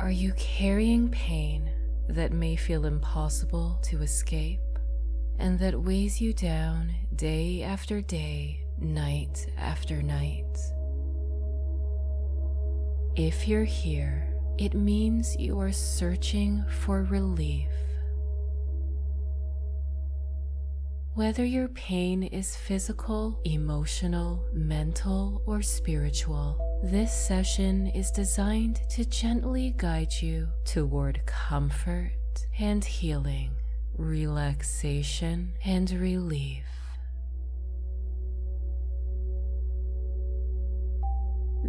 Are you carrying pain that may feel impossible to escape and that weighs you down day after day, night after night? If you're here, it means you are searching for relief. Whether you're your pain is physical, emotional, mental, or spiritual, this session is designed to gently guide you toward comfort and healing, relaxation and relief.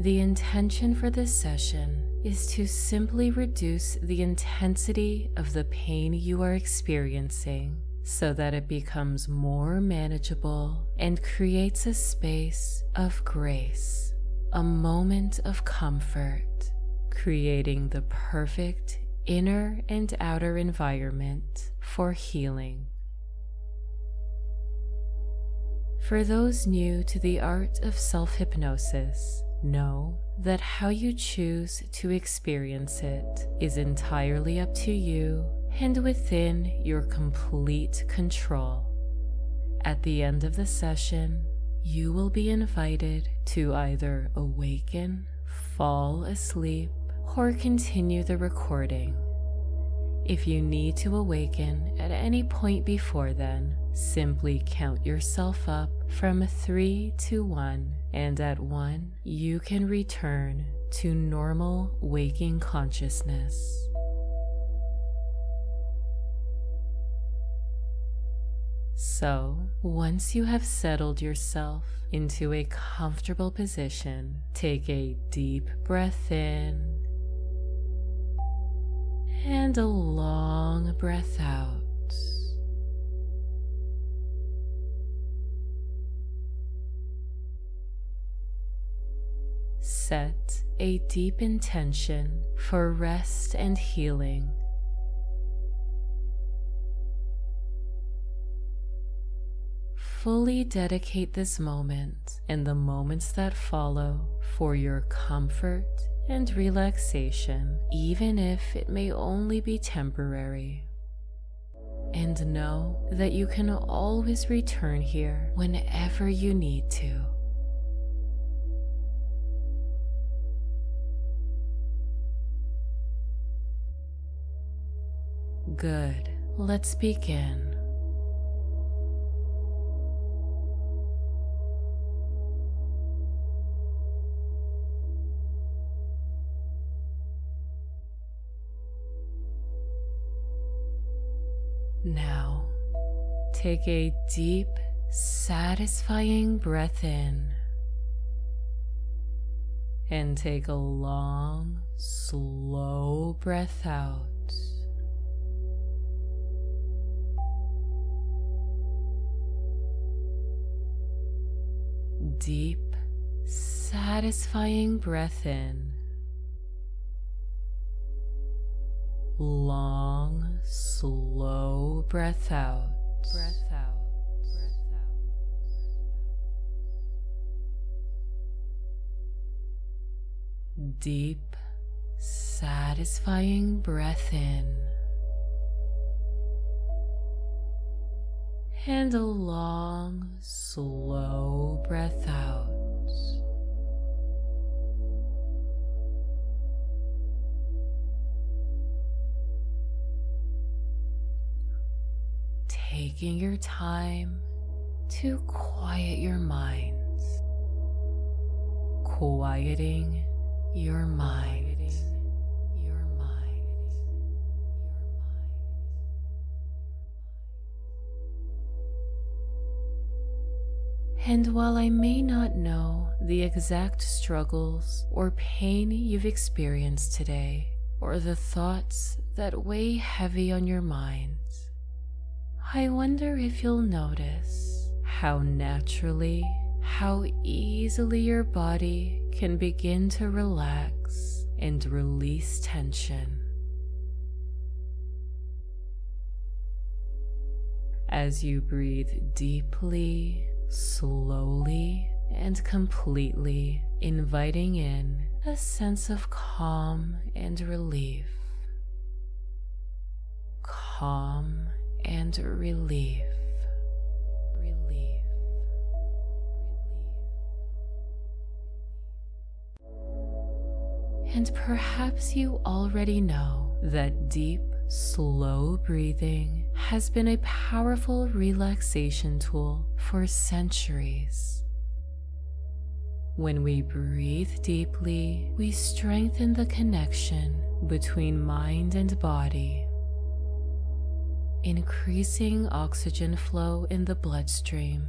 The intention for this session is to simply reduce the intensity of the pain you are experiencing so that it becomes more manageable and creates a space of grace, a moment of comfort, creating the perfect inner and outer environment for healing. For those new to the art of self hypnosis, know that how you choose to experience experience it is entirely up to you and within your complete control. At the end of the session, you will be invited to either awaken, fall asleep, or continue the recording. If you need to awaken at any point before then, simply count yourself up from 3 to 1, and at 1, you can return to normal waking consciousness. So, once you have settled yourself into a comfortable position, take a deep breath in and a long breath out. Set a deep intention for rest and healing. Fully dedicate this moment and the moments that follow for your comfort and relaxation, even if it may only be temporary. And know that you can always return here whenever you need to. Good. Let's begin. Now, take a deep, satisfying breath in and take a long, slow breath out. Deep, satisfying breath in, long, slow breath out. Breath out. deep, satisfying breath in, and a long, slow breath out. Taking your time to quiet your mind, quieting your mind. Your mind. And while I may not know the exact struggles or pain you've experienced today, or the thoughts that weigh heavy on your minds, I wonder if you'll notice how naturally, how easily your body can begin to relax and release tension. As you breathe deeply, slowly, and completely, inviting in a sense of calm and relief. Calm and relief. Relief. Relief. And perhaps you already know that deep, slow breathing has been a powerful relaxation tool for centuries. When we breathe deeply, we strengthen the connection between mind and body, increasing oxygen flow in the bloodstream,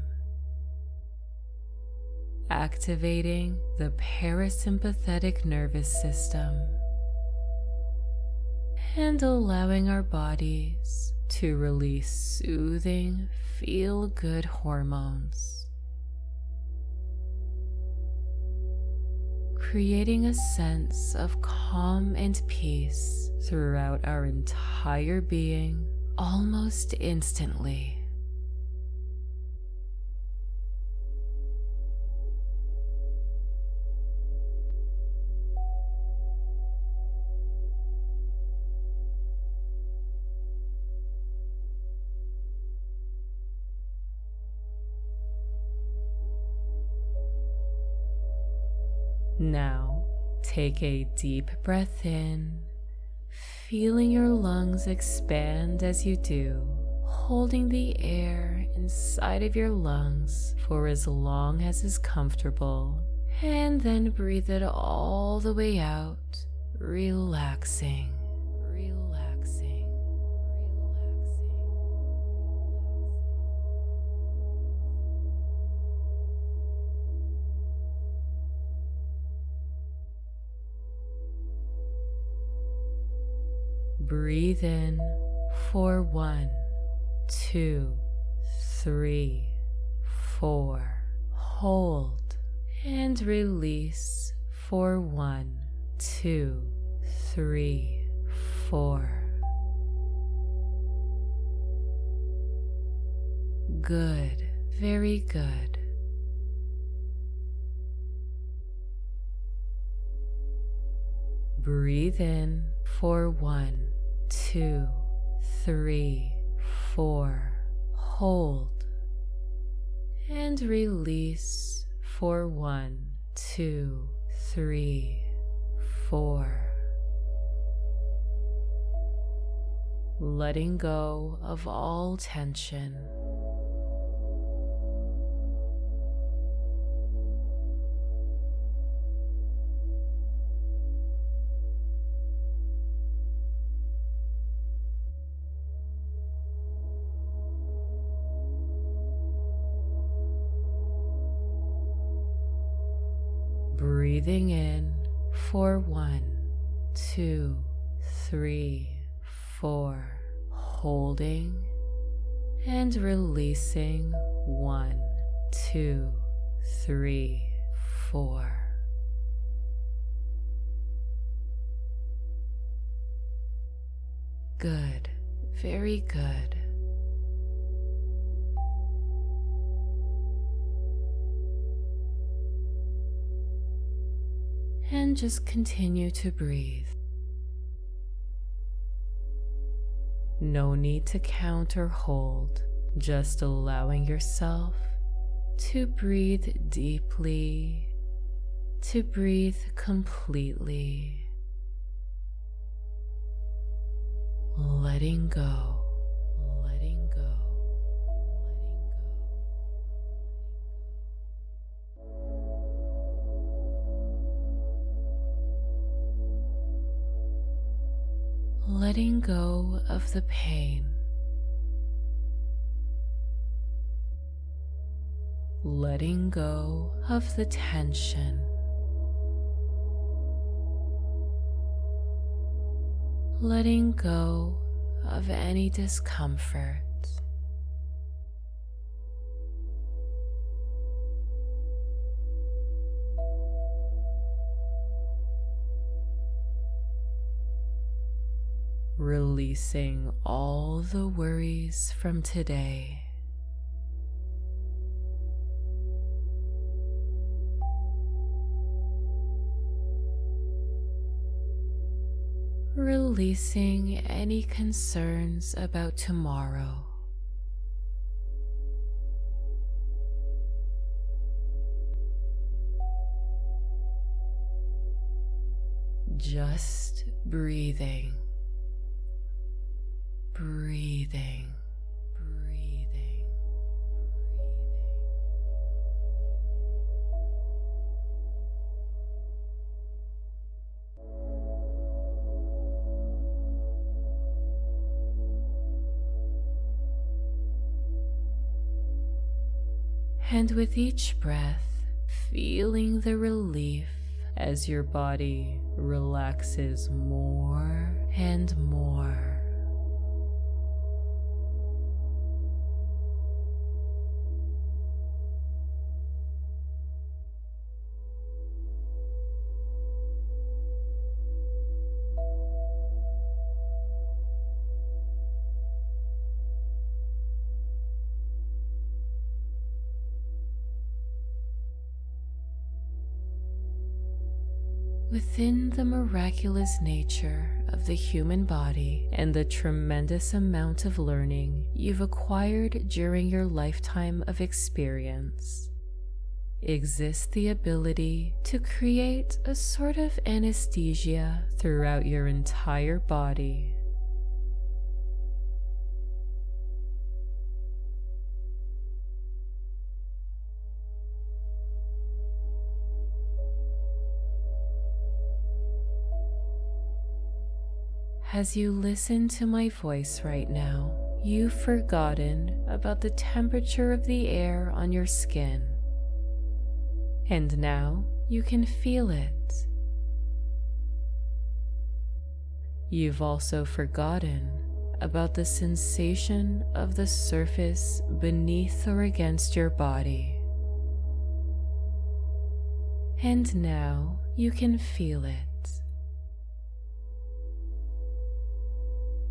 activating the parasympathetic nervous system and allowing our bodies to release soothing, feel good hormones, creating a sense of calm and peace throughout our entire being almost instantly. Now, take a deep breath in, feeling your lungs expand as you do, holding the air inside of your lungs for as long as is comfortable, and then breathe it all the way out, relaxing. Relaxing, relaxing, relaxing. Breathe in for one, two, three, four. Hold and release for one, two, three, four. Good, very good. Breathe in for one, two, three, four. Hold and release for one, two, three, four. Letting go of all tension breathing in for one, two, three, four, holding and releasing one, two, three, four. Good, very good. And just continue to breathe. No need to count or hold, just allowing yourself to breathe deeply, to breathe completely letting go. Letting go. Letting go. of the pain. Letting go of the tension letting go of any discomfort. Releasing all the worries from today. Releasing any concerns about tomorrow. Just breathing, breathing breathing, breathing, And with each breath, feeling the relief as your body relaxes more and more. Within the miraculous nature of the human body and the tremendous amount of learning you've acquired during your lifetime of experience, exists the ability to create a sort of anesthesia throughout your entire body. As you listen to my voice right now, you've forgotten about the temperature of the air on your skin. And now you can feel it. You've also forgotten about the sensation of the surface beneath or against your body. And now you can feel it.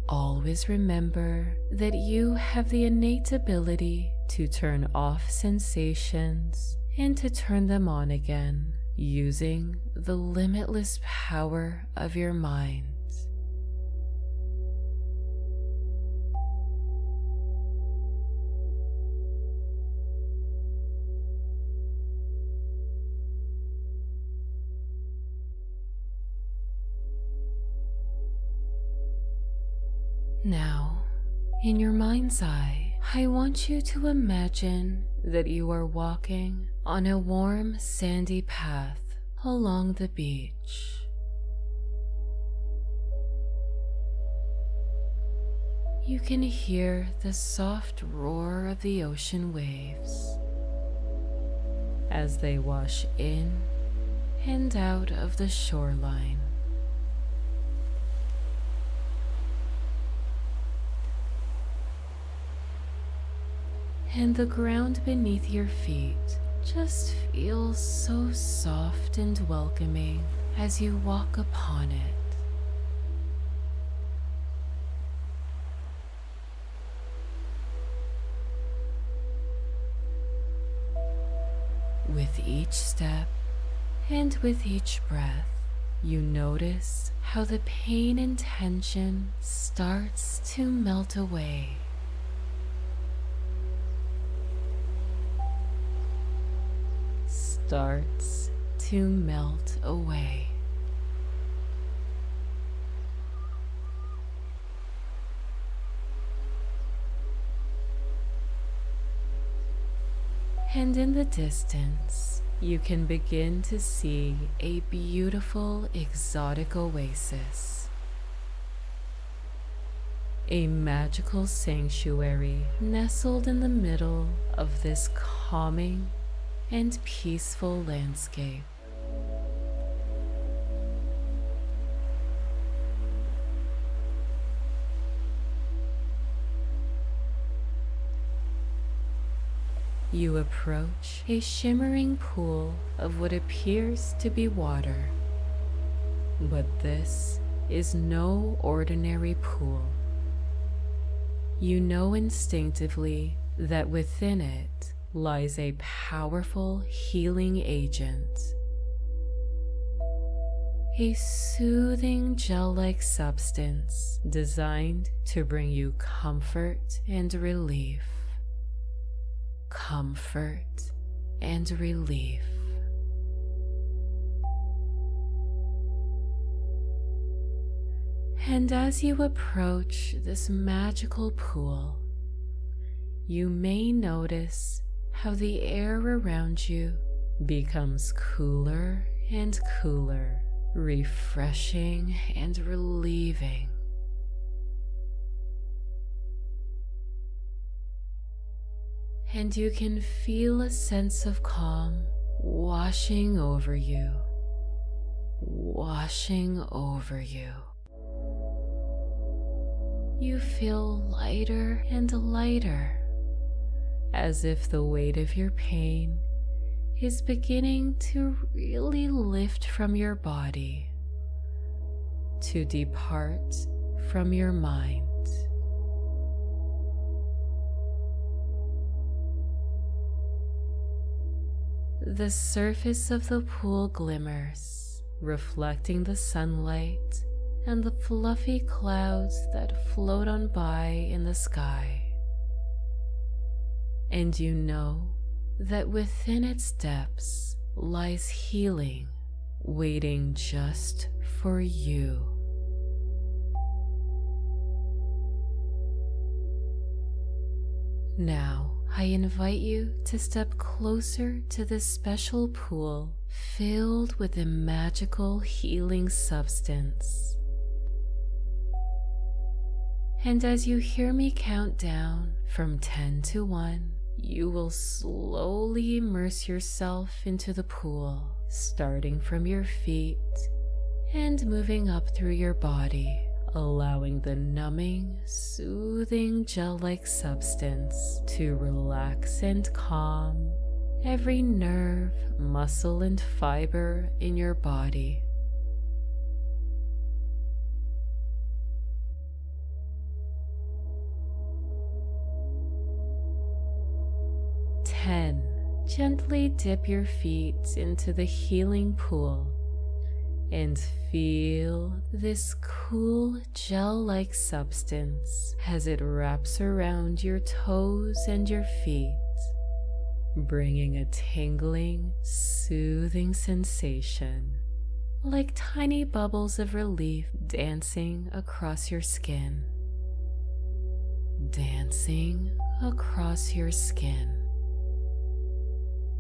Always remember that you have the innate ability to turn off sensations and to turn them on again using the limitless power of your minds. Now, in your mind's eye, I want you to imagine that you are walking on a warm sandy path along the beach. You can hear the soft roar of the ocean waves as they wash in and out of the shoreline and the ground beneath your feet just feels so soft and welcoming as you walk upon it. With each step and with each breath, you notice how the pain and tension starts to melt away. Starts to melt away. And in the distance, you can begin to see a beautiful exotic oasis a magical sanctuary nestled in the middle of this calming and peaceful landscape. You approach a shimmering pool of what appears to be water. But this is no ordinary pool. You know instinctively that within it lies a powerful healing agent. A soothing gel like substance designed to bring you comfort and relief comfort, and relief. And as you approach this magical pool, you may notice how the air around you becomes cooler and cooler, refreshing and relieving and you can feel a sense of calm washing over you, washing over you. You feel lighter and lighter, as if the weight of your pain is beginning to really lift from your body to depart from your mind. The surface of the pool glimmers, reflecting the sunlight and the fluffy clouds that float on by in the sky. And you know that within its depths lies healing, waiting just for you. Now, I invite you to step closer to this special pool filled with a magical healing substance. And as you hear me count down from 10 to 1, you will slowly immerse yourself into the pool, starting from your feet and moving up through your body, allowing the numbing, soothing gel like substance to relax and calm every nerve, muscle, and fiber in your body. 10. Gently dip your feet into the healing pool and feel this cool gel-like substance as it wraps around your toes and your feet, bringing a tingling, soothing sensation tiny bubbles of relief dancing across your skin. Dancing across your skin.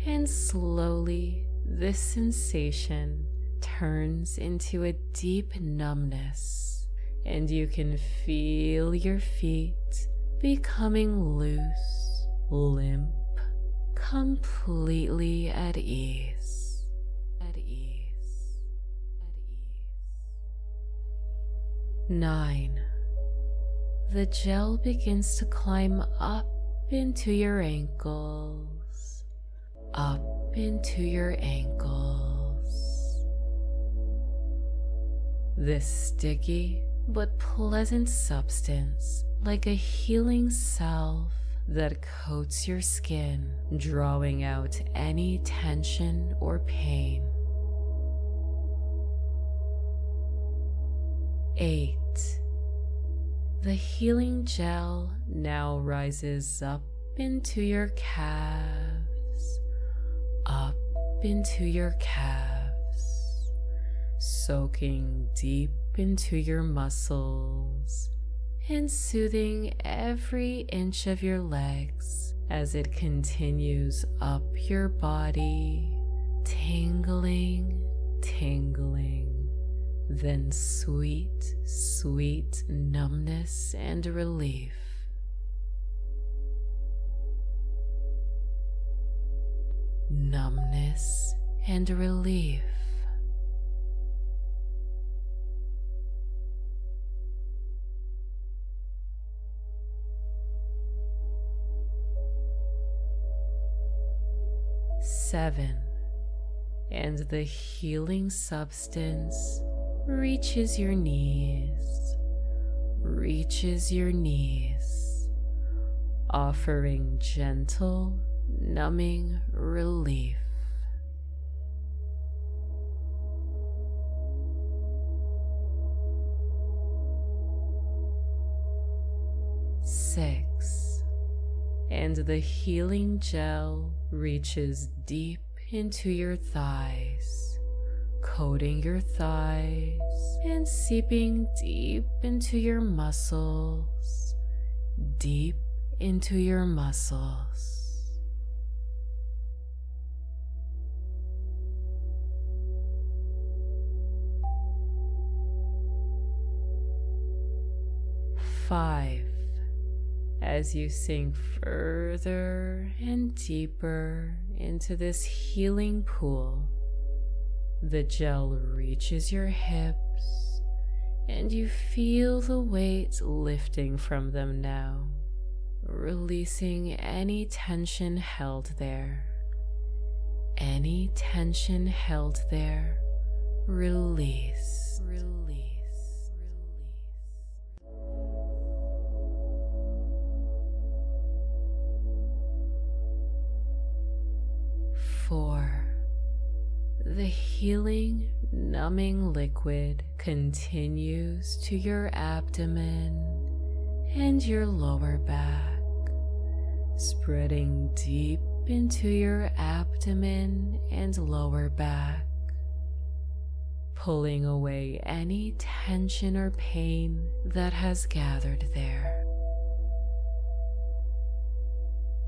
And slowly, this sensation turns into a deep numbness, and you can feel your feet becoming loose, limp, completely at ease. Nine. The gel begins to climb up into your ankles, up into your ankles. This sticky but pleasant substance, like a healing salve that coats your skin, drawing out any tension or pain. 8. The healing gel now rises up into your calves, up into your calves, soaking deep into your muscles and soothing every inch of your legs as it continues up your body, tingling, tingling, then sweet, sweet numbness and relief. Numbness and relief seven, and the healing substance reaches your knees, reaches your knees, offering gentle, numbing relief. Six. And the healing gel reaches deep into your thighs, coating your thighs and seeping deep into your muscles, deep into your muscles. Five. As you sink further and deeper into this healing pool, the gel reaches your hips and you feel. Feel the weight lifting from them now, releasing any tension held there. Any tension held there, release. Release. Four, the healing, numbing liquid continues to your abdomen and your lower back, spreading deep into your abdomen and lower back, pulling away any tension or pain that has gathered there,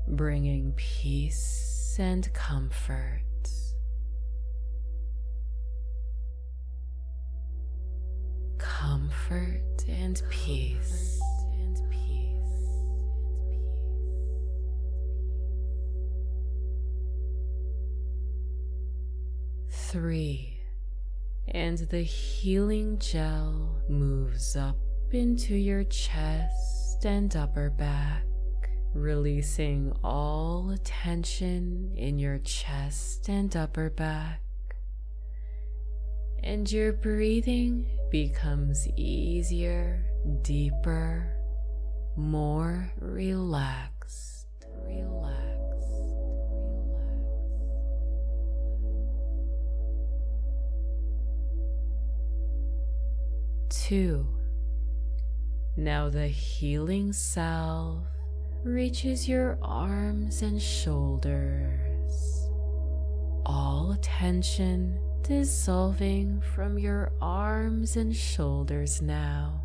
bringing peace and comfort. Comfort and peace. Three, and the healing gel moves up into your chest and upper back, releasing all tension in your chest and upper back. And your breathing becomes easier, deeper, more Relaxed. 2. Now the healing self reaches your arms and shoulders. All tension dissolving from your arms and shoulders now.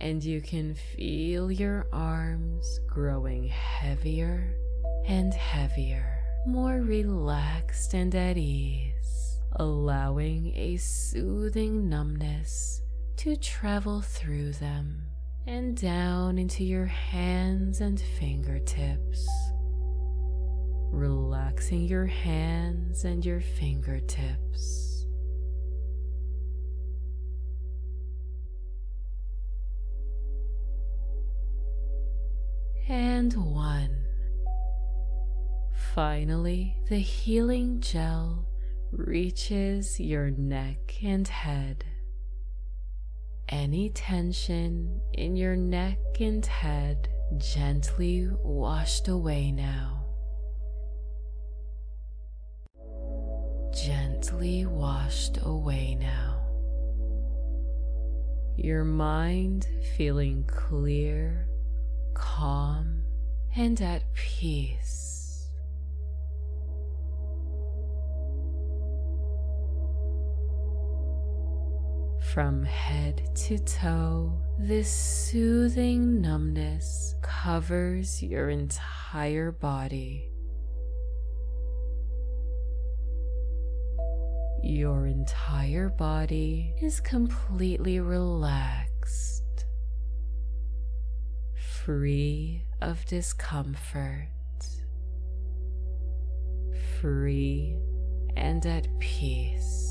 And you can feel your arms growing heavier and heavier, more relaxed and at ease allowing a soothing numbness to travel through them and down into your hands and fingertips. Relaxing your hands and your fingertips and one. Finally, the healing gel reaches your neck and head. Any tension in your neck and head gently washed away now. Gently washed away now. Your mind feeling clear, calm, and at peace. From head to toe, this soothing numbness covers your entire body. Your entire body is completely relaxed, free of discomfort, free and at peace.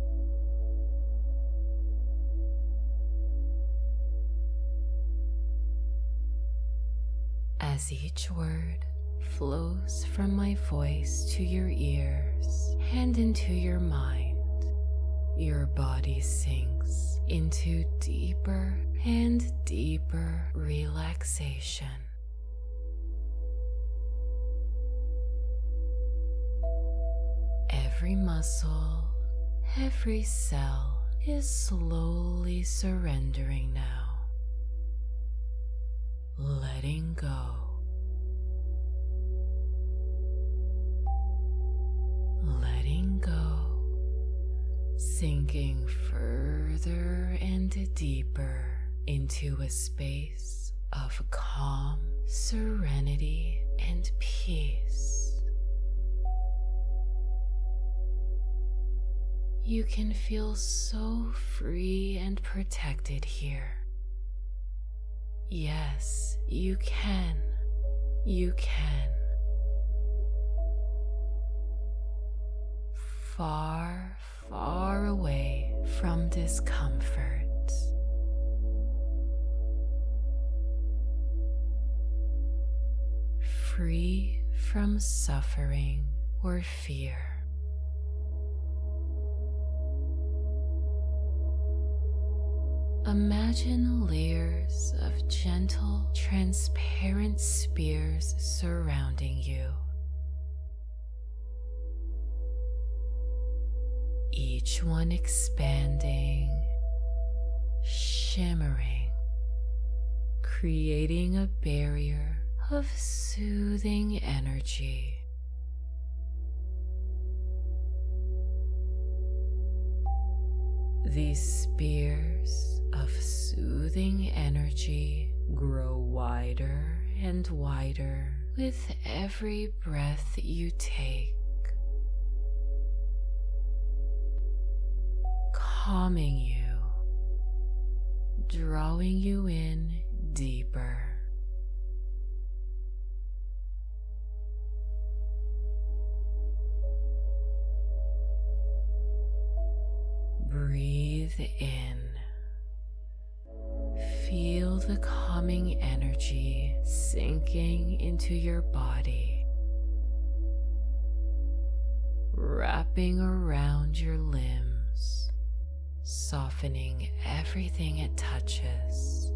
As each word flows from my voice to your ears and into your mind, your body sinks into deeper and deeper relaxation. Every muscle, every cell is slowly surrendering now, letting go. Letting go, sinking further and deeper into a space of calm, serenity, and peace. You can feel so free and protected here. Yes, you can. You can. Far, far away from discomfort. Free from suffering or fear. Imagine layers of gentle, transparent spheres surrounding you each one expanding, shimmering, creating a barrier of soothing energy. These spears of soothing energy grow wider and wider with every every breath you take, calming you, drawing you in deeper. Breathe in. Feel the the calming energy sinking into your body, wrapping around your limbs, softening everything it touches.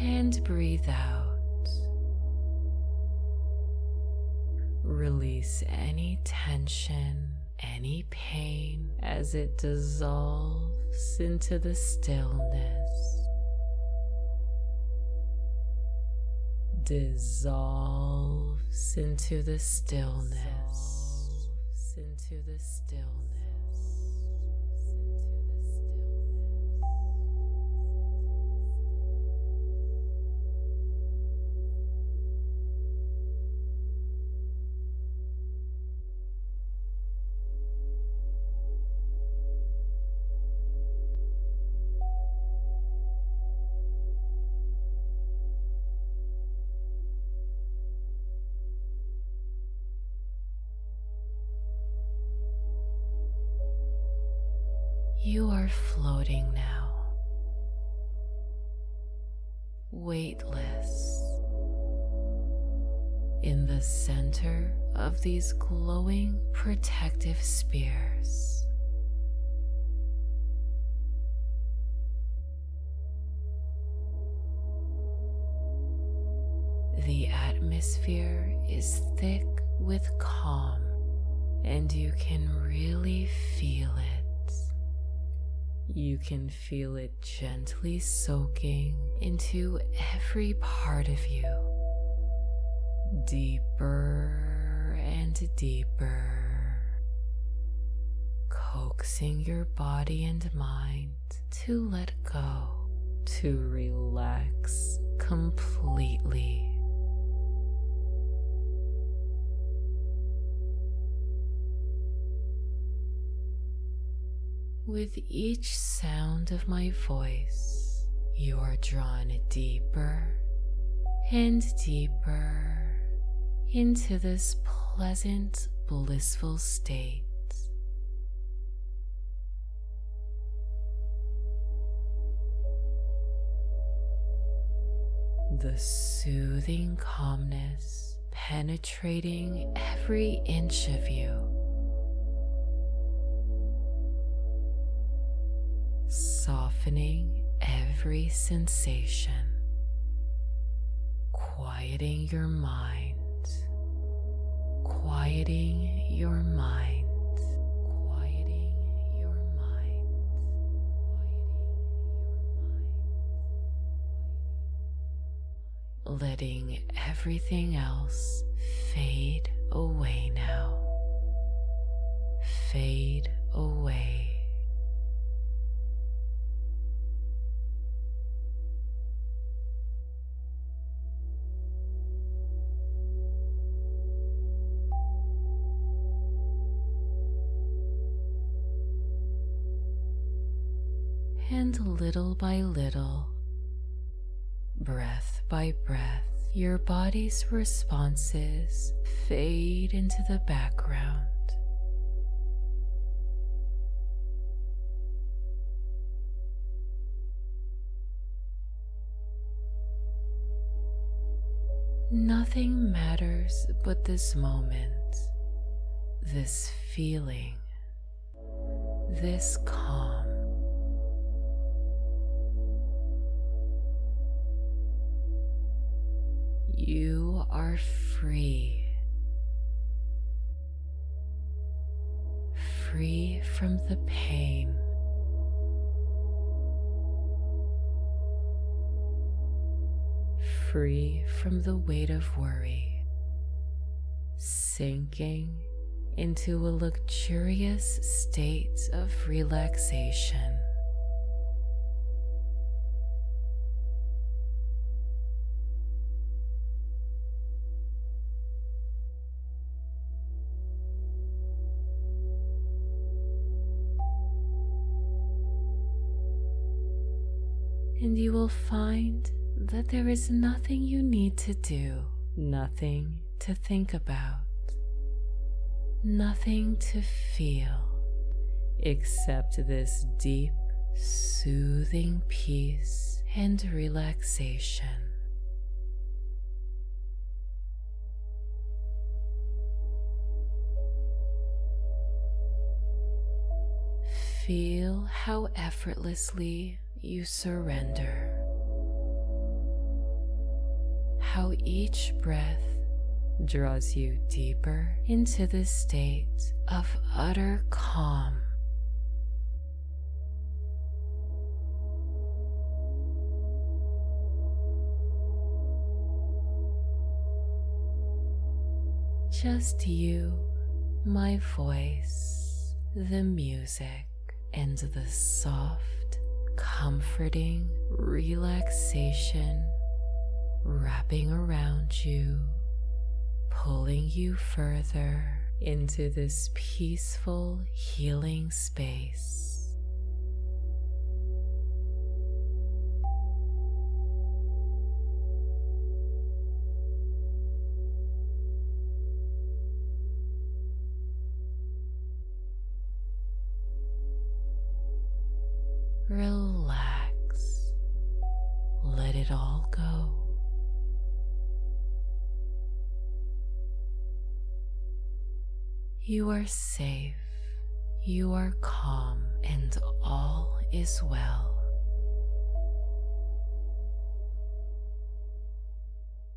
And breathe out. Release any tension, any pain as it dissolves into the stillness. Dissolves into the stillness. Dissolves into the stillness. You are floating now, weightless. In the center of these glowing protective spears. The atmosphere is thick with calm, and you can really feel it. You can feel it gently soaking into every part of you, deeper and deeper, coaxing your body and mind to let go, to relax completely with each sound of my voice, you are drawn deeper and deeper into this pleasant, blissful state. The soothing calmness penetrates penetrating every inch of you. Softening every sensation, quieting your mind, quieting your mind, quieting your mind letting everything else fade away now. Fade away. And little by little, Breath by breath, your body's responses fade into the background. Nothing matters but this moment, this feeling this calm. You are free. Free from the pain. Free from the weight of worry sinking into a luxurious state of relaxation. And you will find that there is nothing you need to do nothing to think about, nothing to feel except this deep, soothing peace and relaxation. Feel how effortlessly you surrender. How each breath draws you deeper into the state of utter calm. Just you, my voice, the music and the soft, comforting relaxation wrapping around you, pulling you further into this peaceful, healing space. Relax. Let it all go. You are safe. You are calm and all is well.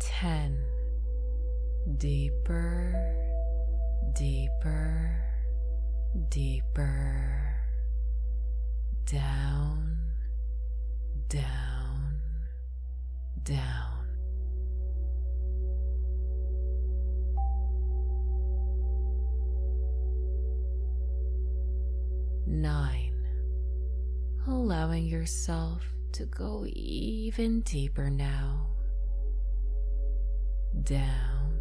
ten, deeper, deeper, deeper, down, down, down. Nine, allowing yourself to go even deeper now. Down,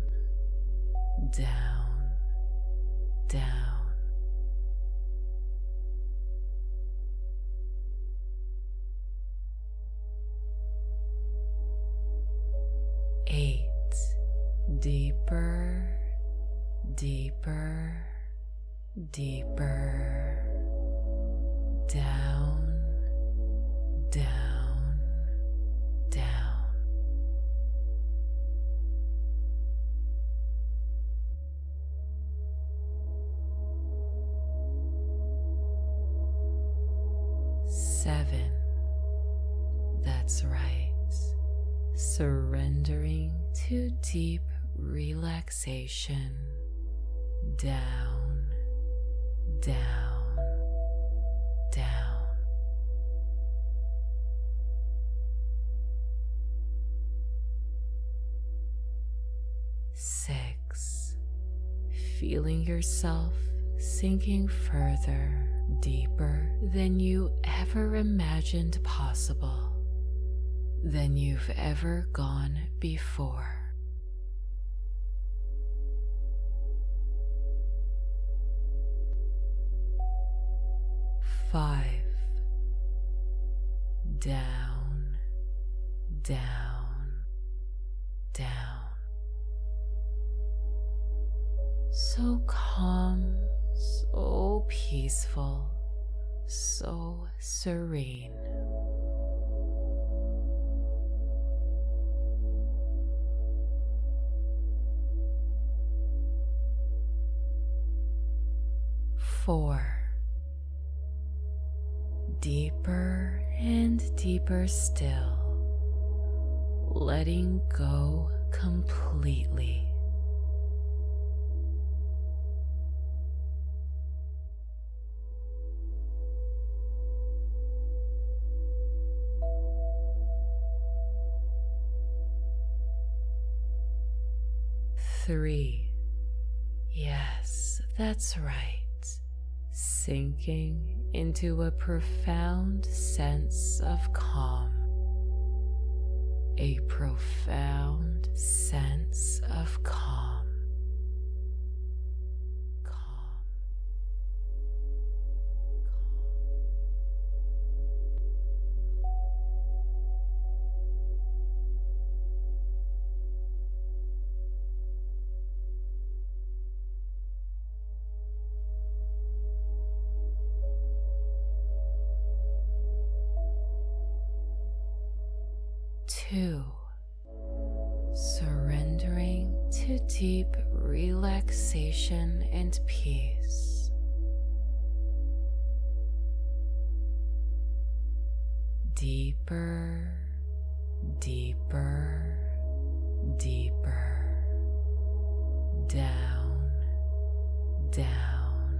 down, down. Eight, deeper, deeper deeper, down, down, down. Seven, that's right, surrendering to deep relaxation down, down, down. Six, feeling yourself sinking further, deeper than you ever imagined possible than you've ever gone before. Five down, down, down. So calm, so peaceful so serene. Four. Deeper and deeper still, letting go completely. Three. Yes, that's right. Sinking into a profound sense of calm, a profound profound sense of calm. Calm. calm. Two, surrendering to deep relaxation and peace. Deeper, deeper, deeper, down, down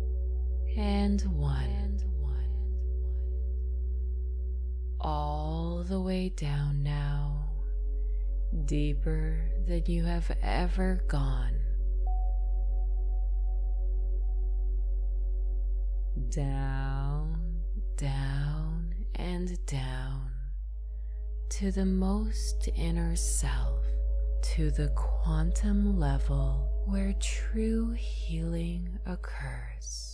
and one, all the way down now, deeper than you have ever gone. Down, down, and down to the most inner self to the quantum level where true healing occurs.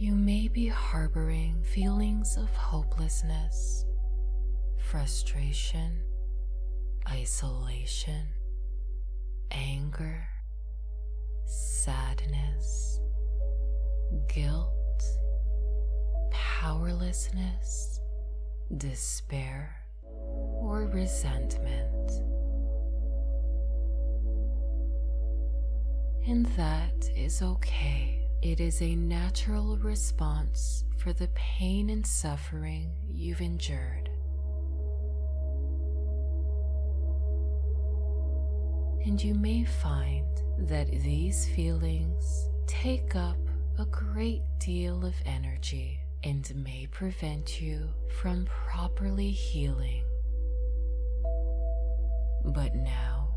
You may be harboring feelings of hopelessness, frustration, isolation, anger, sadness, guilt, powerlessness, despair, or resentment. And that is okay. It is a natural response for the pain and suffering you've endured. And you may find that these feelings take up a great deal of energy and may prevent you from properly healing. But now,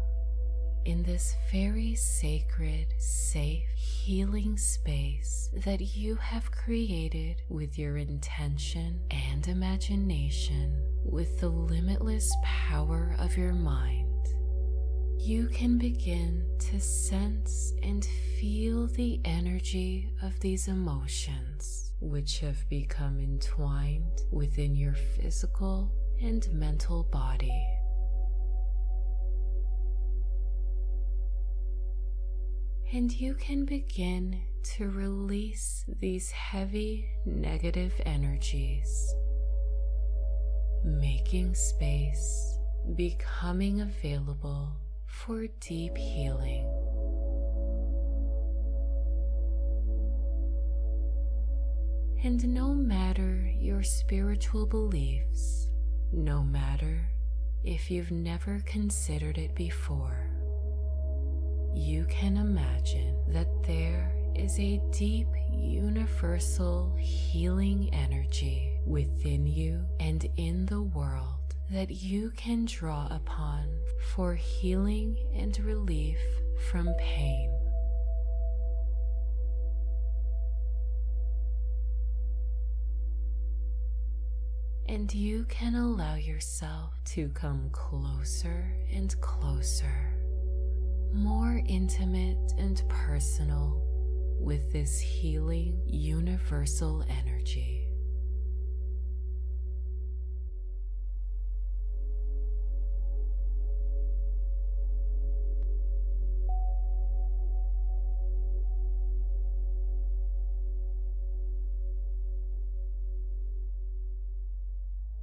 in this very sacred, safe, healing space that you have created with your intention and imagination, imagination with the limitless power of your mind, you can begin to sense and feel the energy of these emotions, which have become entwined within your physical and mental body. And you can begin to release these heavy negative energies, making space, becoming available for deep healing. And no matter your spiritual beliefs, no matter if you've never considered it before, you can imagine that there is a deep universal healing energy within you and in the world that you can draw upon for healing and relief from pain. And you can allow yourself to come closer and closer, more intimate and personal with this healing universal energy.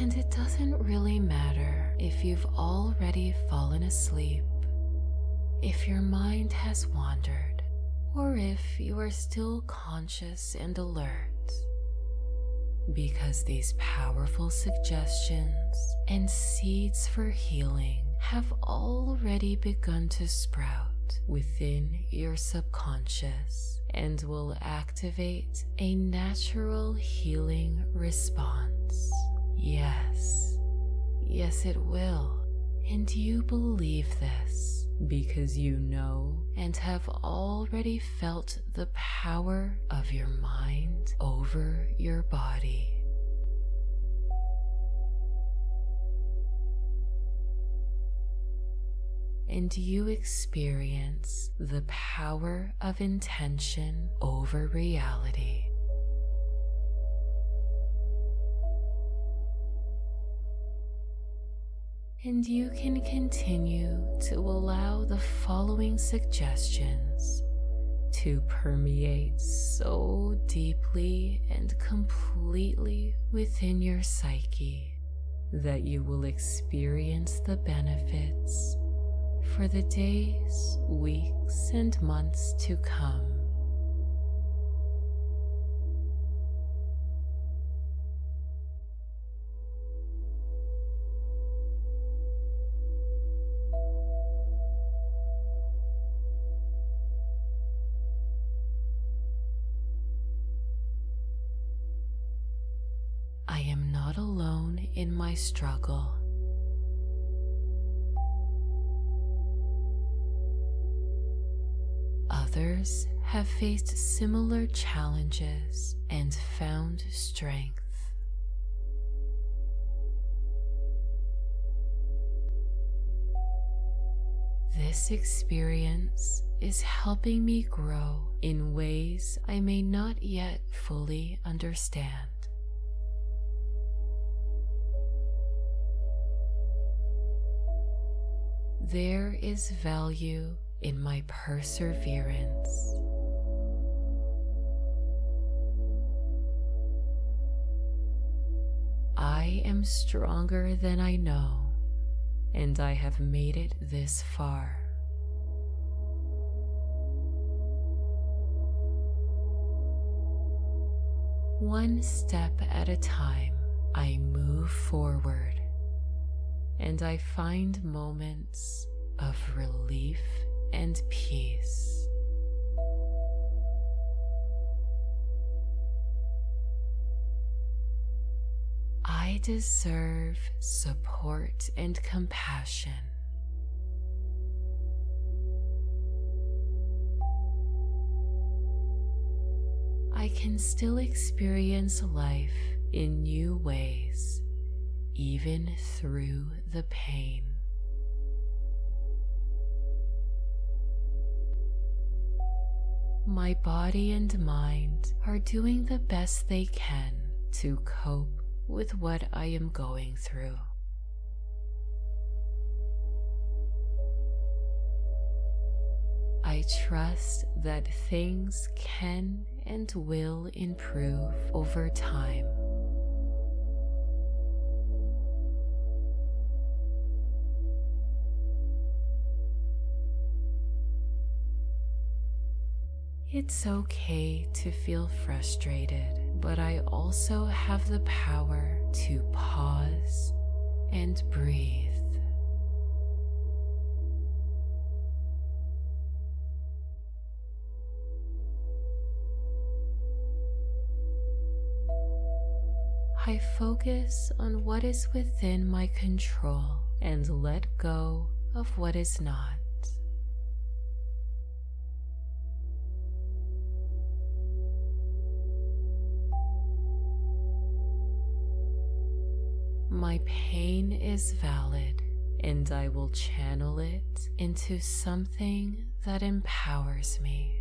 And it doesn't really matter if you've already fallen asleep, if your mind has wandered, or if you are still conscious and alert. Because these powerful suggestions and seeds for healing have already begun to sprout within your subconscious and will activate a natural healing response. Yes, yes, it will. And you believe this because you know and have already felt the power of your mind over your body. And you experience the power of intention intention over reality. And you can continue to allow the following suggestions to permeate so deeply and completely within your psyche that you will experience experience the benefits for the days, weeks, and months to come. I am not alone in my struggle. Others have faced similar challenges and found strength. This experience is helping me grow in ways I may not yet fully understand. There is value in my perseverance. I am stronger than I know, and I have made it this far. One step at a time, I move forward and I find moments of relief and peace. I deserve support and compassion. I can still experience life in new ways, even through the pain. My body and mind are doing the best they can to cope with what I am going through. I trust that things can and will improve over time. It's okay to feel frustrated, but I also have the power to pause and breathe. I focus on what is within my control and let go of what is not. My pain is valid, and I will channel it into something that empowers me.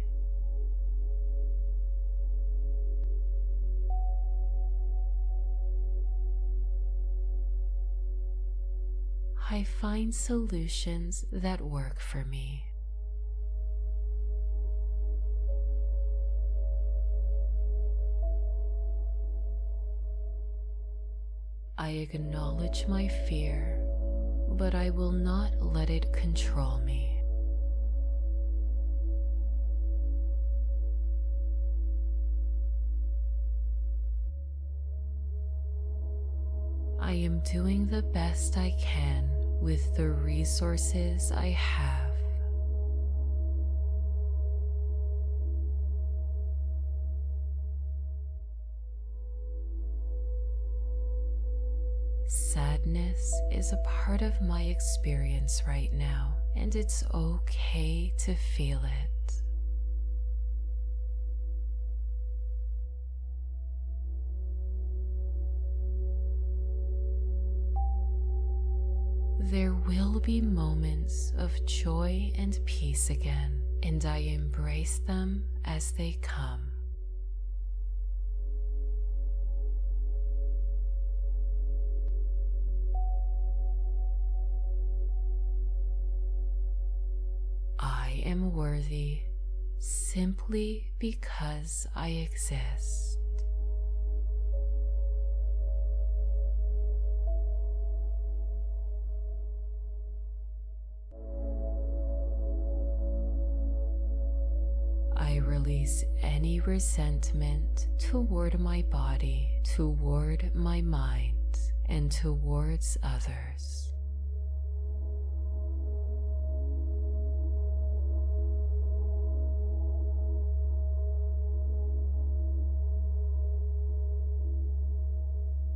I find solutions that work for me. I acknowledge my fear, but I will not let it control me. I am doing the best I can with the resources I have. Sadness is a part of my experience right now, and it's okay to feel it. There will be moments of joy and peace again, and I embrace them as they come. I am worthy simply because I exist. I release any resentment toward my body, toward my mind, and towards others.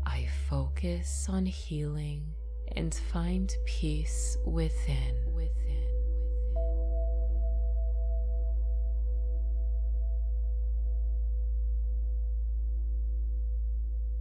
I focus on healing and find peace within.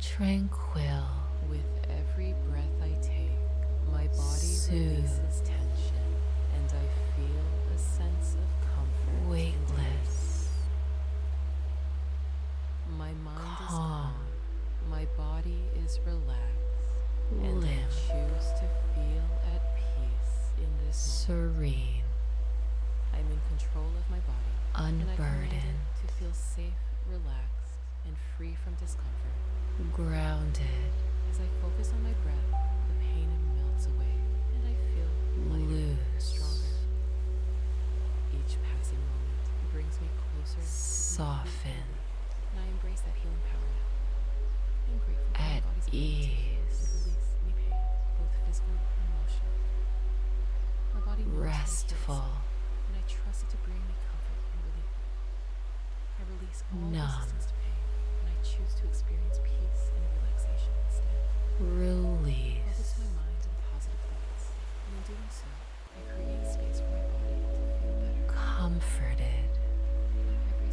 tranquil. With every breath I take, my body Soothe. releases tension and I feel a sense of comfort. Weightless. My mind calm. is calm. My body is relaxed. And Limp. I choose to feel at peace Serene. I'm in control Unburdened. to feel safe, relaxed, and free from discomfort. Grounded. As I focus on my breath, the pain melts away, and I feel lighter, Loose. stronger. Each passing moment brings me closer. Soften. And I embrace that healing power At ease restful. And I trust it to bring me comfort and relief. I release all Numb. resistance to pain, and I choose to experience peace and relaxation instead. Release. Focus my mind on positive thoughts, and in doing so, I create space for my body to feel Comforted. Every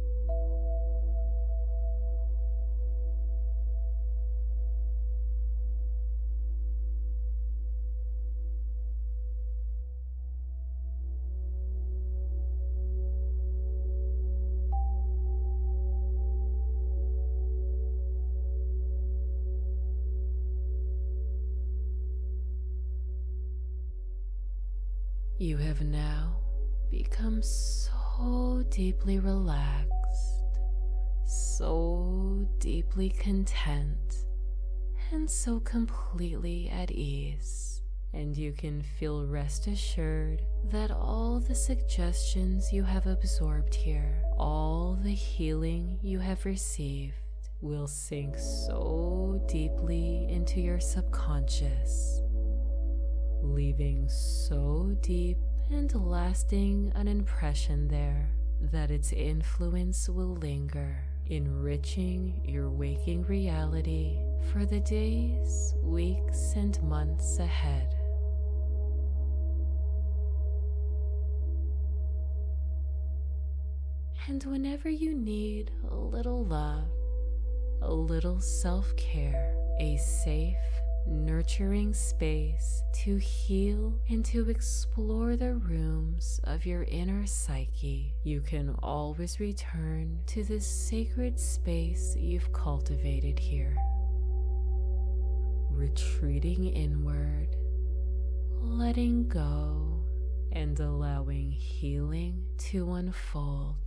You have now become so deeply relaxed, so deeply content, and so completely at ease. And you can feel rest assured that all the suggestions you have absorbed here, all the healing you have received, will sink so deeply into your subconscious leaving so deep and lasting an impression there that its influence will linger, enriching your waking reality for the days, weeks, and months ahead. And whenever you need a little love, a little self care, a safe, nurturing space to heal and to explore the rooms of your inner psyche. You can always return to this sacred space you've cultivated here. Retreating inward, letting go, and allowing healing to unfold.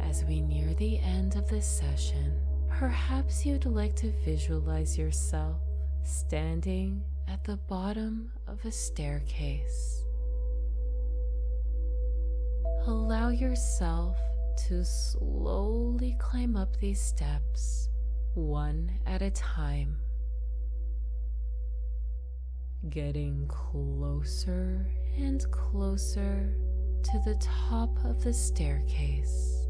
As we near the end of this session, perhaps you'd like to visualize yourself standing at the bottom of a staircase Allow yourself to slowly climb up these steps one at a time, getting closer and closer to the top of the staircase.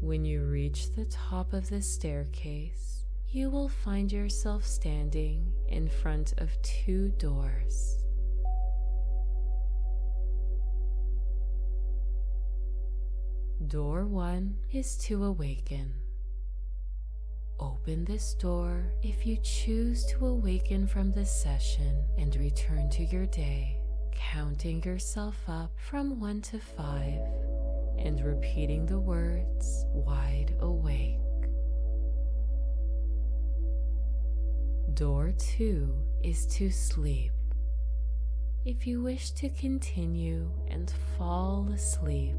When you reach the top of the staircase, you will find yourself standing in front of two doors. Door 1 is to awaken. Open this door if you choose to awaken from this session and return to your day, counting yourself up from 1 to 5 and repeating the word wide awake. Door two is to sleep. If you wish to continue and fall asleep,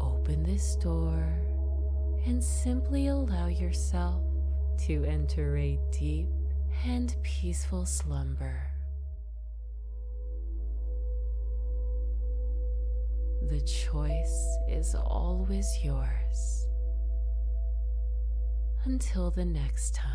open this door and simply allow yourself to enter a deep and peaceful slumber. The choice is always yours. Until the next time.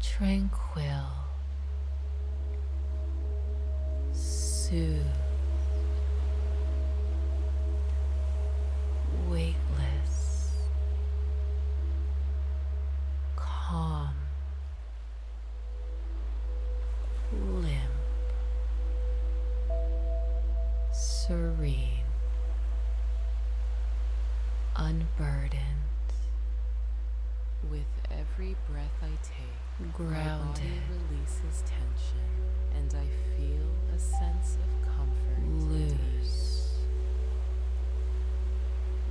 tranquil Soothe, weightless, calm, limp, serene, unburdened. With every breath I grounded. releases tension, and I feel a sense of comfort. Loose.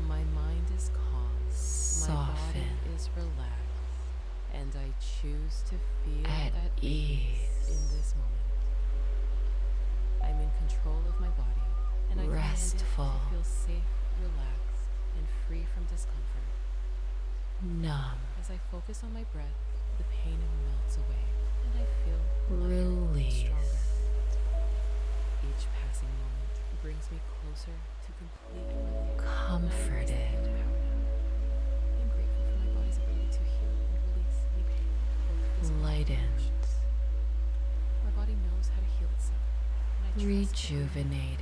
My mind is calm. My body is relaxed, and I choose to feel at, ease. in this moment. I'm in control of my body, and I restful. Command it feel safe, relaxed, and free from discomfort. Numb. As I focus focus on my breath, the pain melts away, and I feel released. Each passing moment brings me closer to complete Comforted. Lightened. My body knows how to heal itself. Rejuvenated.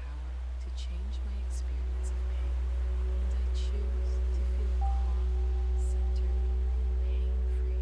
to change my experience of pain, and I choose to feel calm, centered, and pain free.